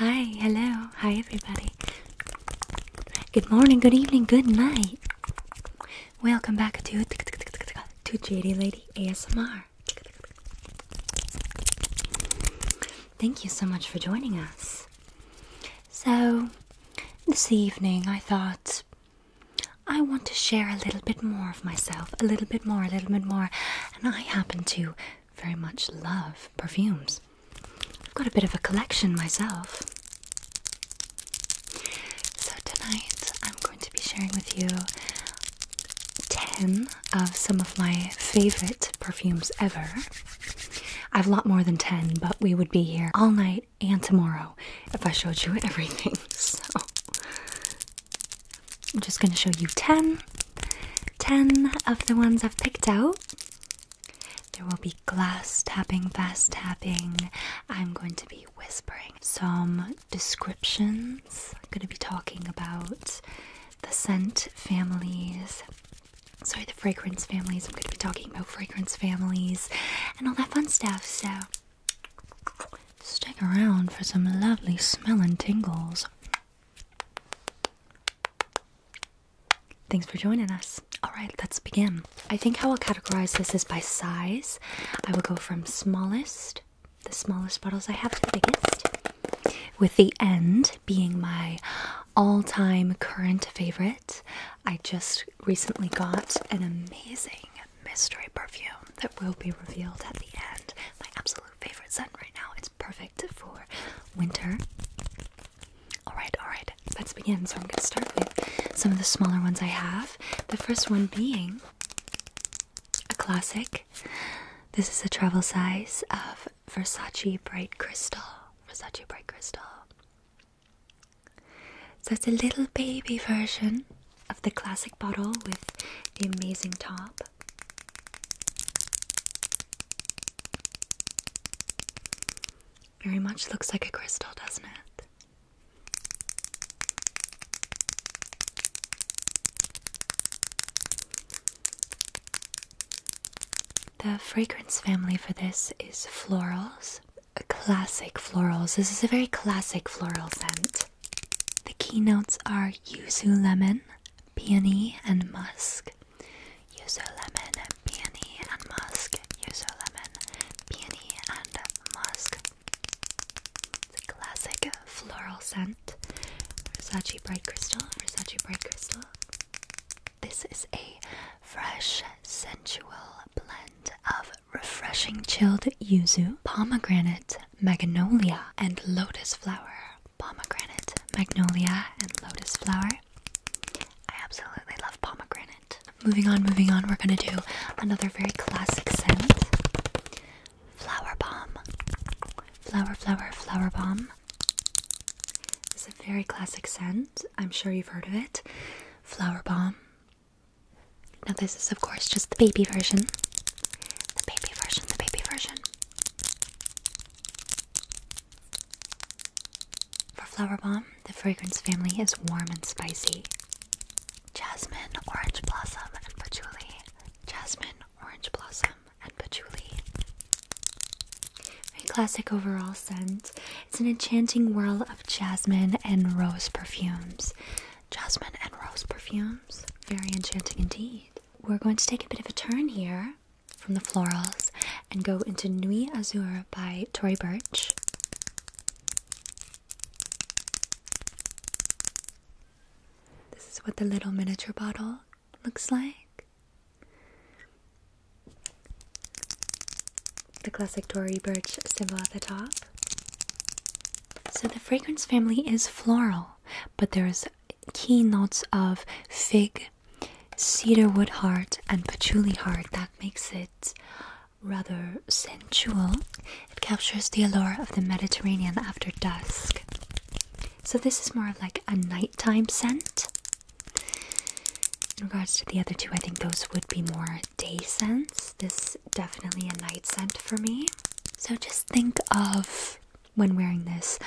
Hi, hello, hi everybody. Good morning, good evening, good night. Welcome back to to JD Lady ASMR. Thank you so much for joining us. So, this evening I thought I want to share a little bit more of myself, a little bit more, a little bit more, and I happen to very much love perfumes. I've got a bit of a collection myself. So, tonight I'm going to be sharing with you 10 of some of my favorite perfumes ever. I have a lot more than 10, but we would be here all night and tomorrow if I showed you everything. So, I'm just going to show you 10, 10 of the ones I've picked out. There will be glass tapping, fast tapping. I'm going to be whispering some descriptions. I'm going to be talking about the scent families. Sorry, the fragrance families. I'm going to be talking about fragrance families and all that fun stuff. So, stick around for some lovely smelling tingles. Thanks for joining us. Alright, let's begin. I think how I'll categorize this is by size. I will go from smallest, the smallest bottles I have, to the biggest, with the end being my all time current favorite. I just recently got an amazing mystery perfume that will be revealed at the end. My absolute favorite scent right now. It's perfect for winter. Alright, alright, let's begin. So I'm going to start with some of the smaller ones I have. The first one being a classic. This is a travel size of Versace Bright Crystal. Versace Bright Crystal. So it's a little baby version of the classic bottle with the amazing top. Very much looks like a crystal, doesn't it? The fragrance family for this is florals, classic florals. This is a very classic floral scent. The keynotes are yuzu lemon, peony, and musk. Yuzu lemon, peony, and musk. Yuzu lemon, peony, and musk. It's a classic floral scent. Versace bright crystal. Versace bright crystal. This is a fresh, sensual blend of refreshing chilled yuzu, pomegranate, magnolia and lotus flower. Pomegranate, magnolia, and lotus flower. I absolutely love pomegranate. Moving on, moving on, we're gonna do another very classic scent flower bomb. Flower, flower, flower bomb. It's a very classic scent. I'm sure you've heard of it. Flower bomb. Now, this is, of course, just the baby version. The baby version, the baby version. For Flower Bomb, the fragrance family is warm and spicy. Jasmine, orange blossom, and patchouli. Jasmine, orange blossom, and patchouli. Very classic overall scent. It's an enchanting world of jasmine and rose perfumes jasmine and rose perfumes. Very enchanting indeed. We're going to take a bit of a turn here from the florals and go into Nuit Azur by Tory Burch. This is what the little miniature bottle looks like. The classic Tory Burch symbol at the top. So the fragrance family is floral, but there's key notes of fig, cedarwood heart, and patchouli heart that makes it rather sensual. It captures the allure of the Mediterranean after dusk. So this is more of like a nighttime scent. In regards to the other two, I think those would be more day scents. This definitely a night scent for me. So just think of, when wearing this,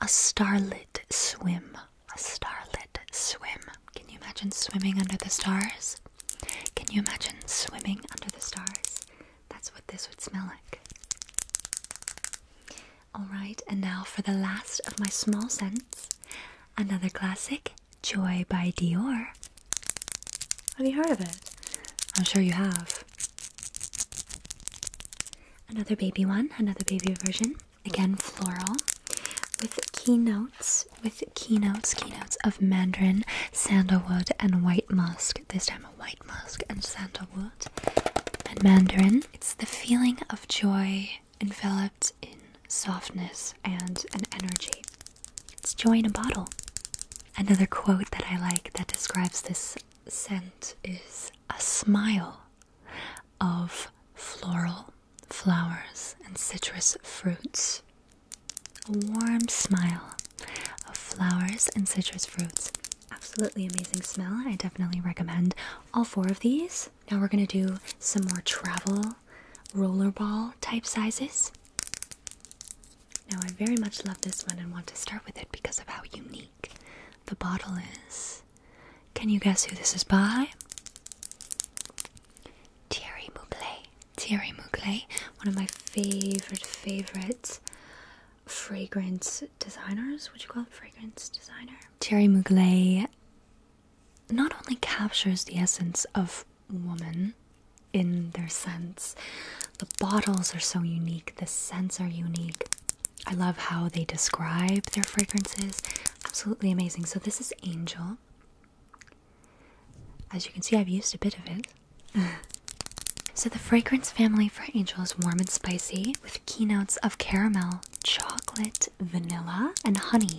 a starlit swim. A starlit swim. Can you imagine swimming under the stars? Can you imagine swimming under the stars? That's what this would smell like. Alright, and now for the last of my small scents, another classic, Joy by Dior. Have you heard of it? I'm sure you have. Another baby one, another baby version. Again, floral. With keynotes, with keynotes, keynotes of mandarin, sandalwood, and white musk. This time a white musk and sandalwood. And mandarin. It's the feeling of joy enveloped in softness and an energy. It's joy in a bottle. Another quote that I like that describes this scent is a smile of floral flowers and citrus fruits. A warm smile of flowers and citrus fruits. Absolutely amazing smell. I definitely recommend all four of these. Now we're going to do some more travel rollerball type sizes. Now, I very much love this one and want to start with it because of how unique the bottle is. Can you guess who this is by? Thierry Mugler. Thierry Mugler, one of my favorite, favorite fragrance designers. Would you call it fragrance designer? Thierry Mugler not only captures the essence of woman in their scents. The bottles are so unique, the scents are unique. I love how they describe their fragrances. Absolutely amazing. So, this is Angel. As you can see, I've used a bit of it. so, the fragrance family for Angel is warm and spicy with keynotes of caramel, chocolate, vanilla, and honey.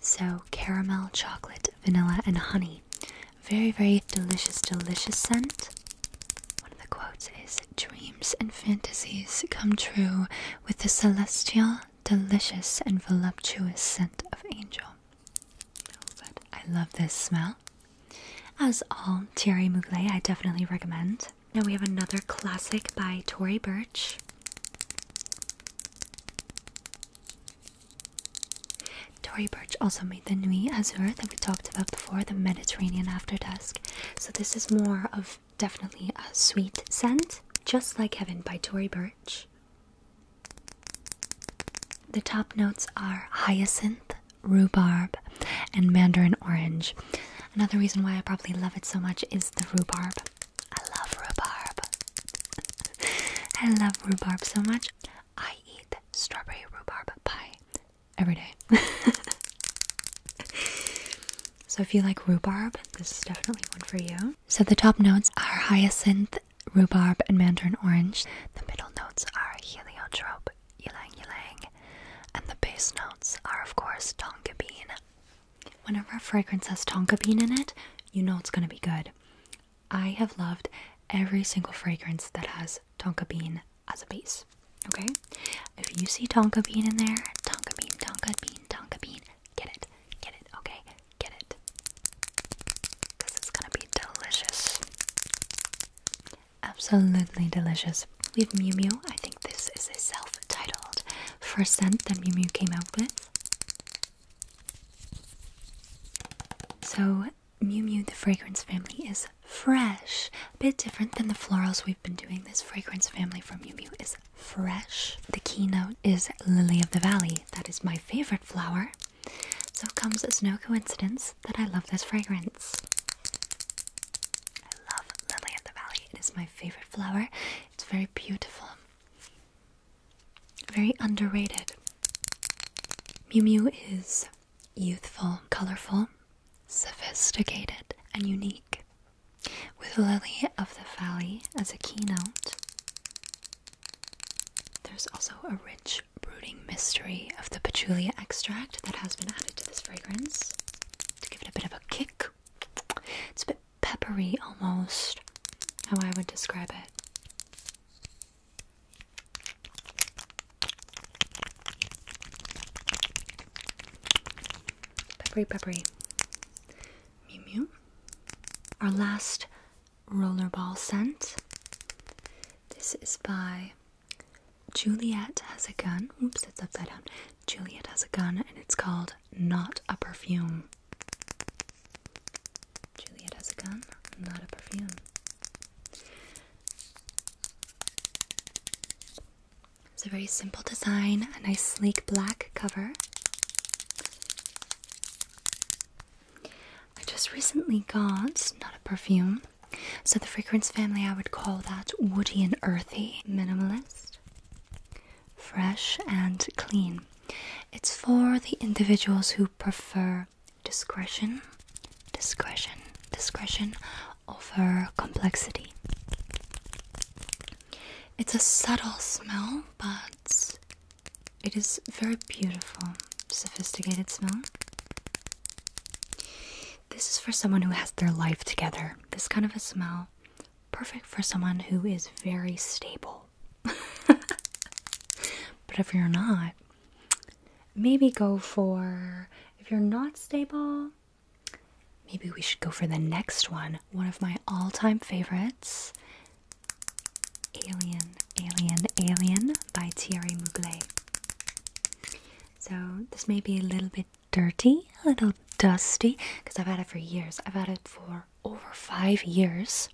So, caramel, chocolate, vanilla, and honey. Very, very delicious, delicious scent. One of the quotes is Dreams and fantasies come true with the celestial, delicious, and voluptuous scent of angel. Oh, I love this smell. As all Thierry Mugler, I definitely recommend. Now we have another classic by Tory Burch. Tory Birch also made the Nuit Azure that we talked about before, the Mediterranean After Dusk. So this is more of definitely a sweet scent, just like Heaven by Tory Birch. The top notes are hyacinth, rhubarb, and mandarin orange. Another reason why I probably love it so much is the rhubarb. I love rhubarb. I love rhubarb so much. I eat strawberry rhubarb pie every day. so if you like rhubarb, this is definitely one for you. So the top notes are hyacinth, rhubarb, and mandarin orange. The middle notes are heliotrope, ylang ylang, and the base notes are of course tonka bean. Whenever a fragrance has tonka bean in it, you know it's gonna be good. I have loved every single fragrance that has tonka bean as a base. Okay? If you see tonka bean in there, tonka bean, tonka bean, tonka bean, get it, get it, okay? Get it. Because it's gonna be delicious. Absolutely delicious. We have Mew Mew. I think this is a self titled first scent that Mew Mew came out with. So Mew Mew the fragrance family is fresh. A bit different than the florals we've been doing. This fragrance family from Mew Mew is fresh. The keynote is Lily of the Valley. That is my favorite flower. So it comes as no coincidence that I love this fragrance. I love Lily of the Valley. It is my favorite flower. It's very beautiful. Very underrated. Mew Mew is youthful, colorful, sophisticated, and unique. With Lily of the Valley as a keynote, there's also a rich, brooding mystery of the patchouli extract that has been added to this fragrance to give it a bit of a kick. It's a bit peppery almost, how I would describe it. Peppery, peppery. Mew Mew. Our last rollerball scent. This is by Juliet Has a Gun. Oops, it's upside down. Juliet Has a Gun, and it's called Not a Perfume. Juliet has a gun, not a perfume. It's a very simple design, a nice sleek black cover. I just recently got, not a perfume, so the fragrance family I would call that woody and earthy, minimalist, fresh and clean. It's for the individuals who prefer discretion, discretion, discretion over complexity. It's a subtle smell, but it is very beautiful, sophisticated smell. This is for someone who has their life together. This kind of a smell, perfect for someone who is very stable. but if you're not, maybe go for if you're not stable, maybe we should go for the next one. One of my all-time favorites. Alien, Alien, Alien by Thierry Mugler. So this may be a little bit dirty, a little dusty, because I've had it for years. I've had it for over five years.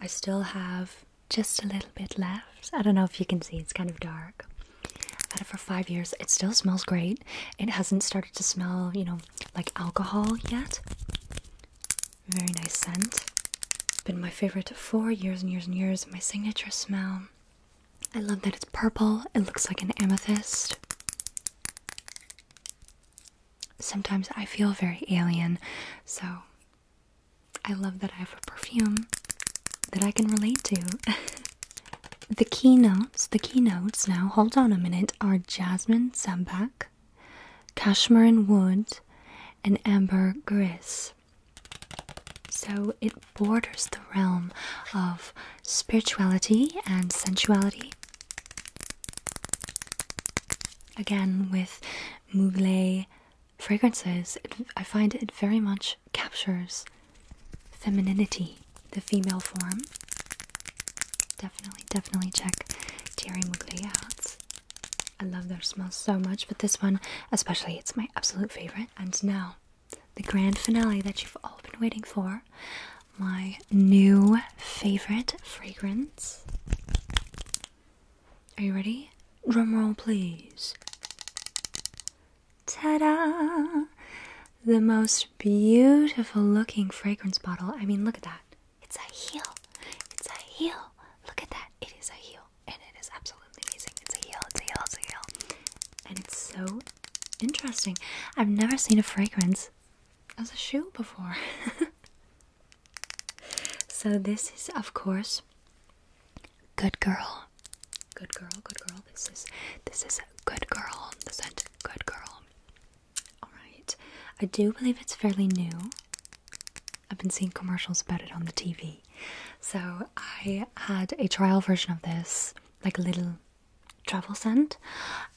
I still have just a little bit left. I don't know if you can see, it's kind of dark. I've had it for five years. It still smells great. It hasn't started to smell, you know, like alcohol yet. Very nice scent. been my favorite for years and years and years. My signature smell. I love that it's purple. It looks like an amethyst sometimes I feel very alien, so I love that I have a perfume that I can relate to. the keynotes, the keynotes now, hold on a minute, are jasmine sambac, cashmere and wood, and amber gris. So it borders the realm of spirituality and sensuality again with Mugler fragrances, I find it very much captures femininity, the female form. Definitely, definitely check Thierry Mugler out. I love their smells so much, but this one especially, it's my absolute favorite. And now, the grand finale that you've all been waiting for my new favorite fragrance. Are you ready? Drum roll, please. Ta da! The most beautiful looking fragrance bottle. I mean, look at that. It's a heel. It's a heel. Look at that. It is a heel. And it is absolutely amazing. It's a heel. It's a heel. It's a heel. And it's so interesting. I've never seen a fragrance as a shoe before. So this is of course Good Girl. Good girl, good girl. This is this is a good girl. The scent good girl. Alright. I do believe it's fairly new. I've been seeing commercials about it on the TV. So I had a trial version of this, like a little travel scent,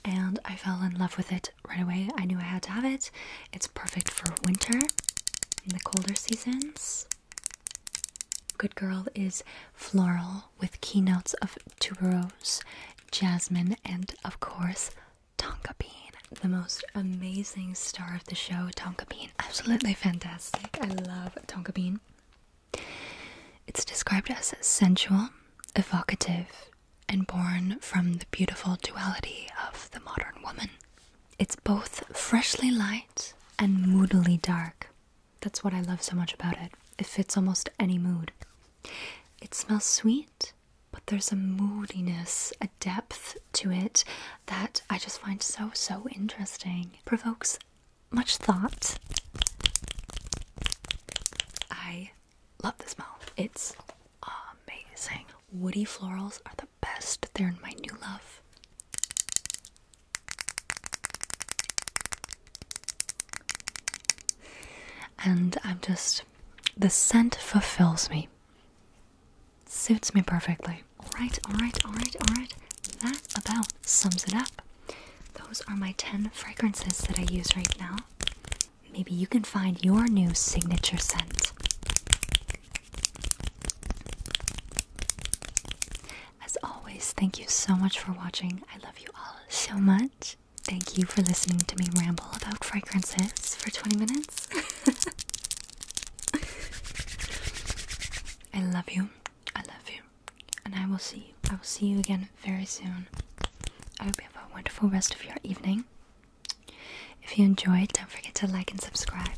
and I fell in love with it right away. I knew I had to have it. It's perfect for winter in the colder seasons. Good Girl is floral with keynotes of tuberose, jasmine, and of course, tonka bean. The most amazing star of the show, tonka bean. Absolutely fantastic. I love tonka bean. It's described as sensual, evocative, and born from the beautiful duality of the modern woman. It's both freshly light and moodily dark. That's what I love so much about it. It fits almost any mood. It smells sweet, but there's a moodiness, a depth to it that I just find so, so interesting. It provokes much thought. I Love the smell. It's amazing. Woody florals are the best. They're my new love. And I'm just, the scent fulfills me. Suits me perfectly. Alright, alright, alright, alright. That about sums it up. Those are my 10 fragrances that I use right now maybe you can find your new signature scent. As always, thank you so much for watching. I love you all so much. Thank you for listening to me ramble about fragrances for 20 minutes. I love you. I love you. And I will see you. I will see you again very soon. I hope you have a wonderful rest of your evening. If you enjoyed, don't forget to like and subscribe.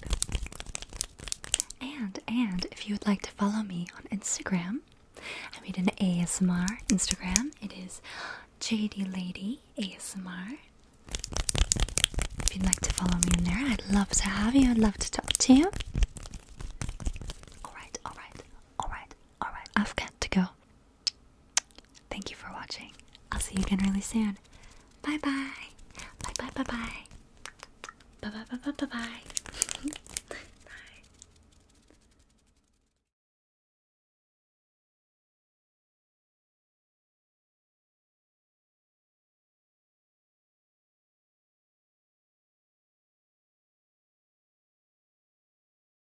And and if you would like to follow me on Instagram, I made an ASMR Instagram. It is JD Lady ASMR. If you'd like to follow me in there, I'd love to have you. I'd love to talk to you. Alright, alright, alright, alright. I've got to go. Thank you for watching. I'll see you again really soon. Bye bye. Bye bye bye bye. Bye bye bye bye bye bye. bye.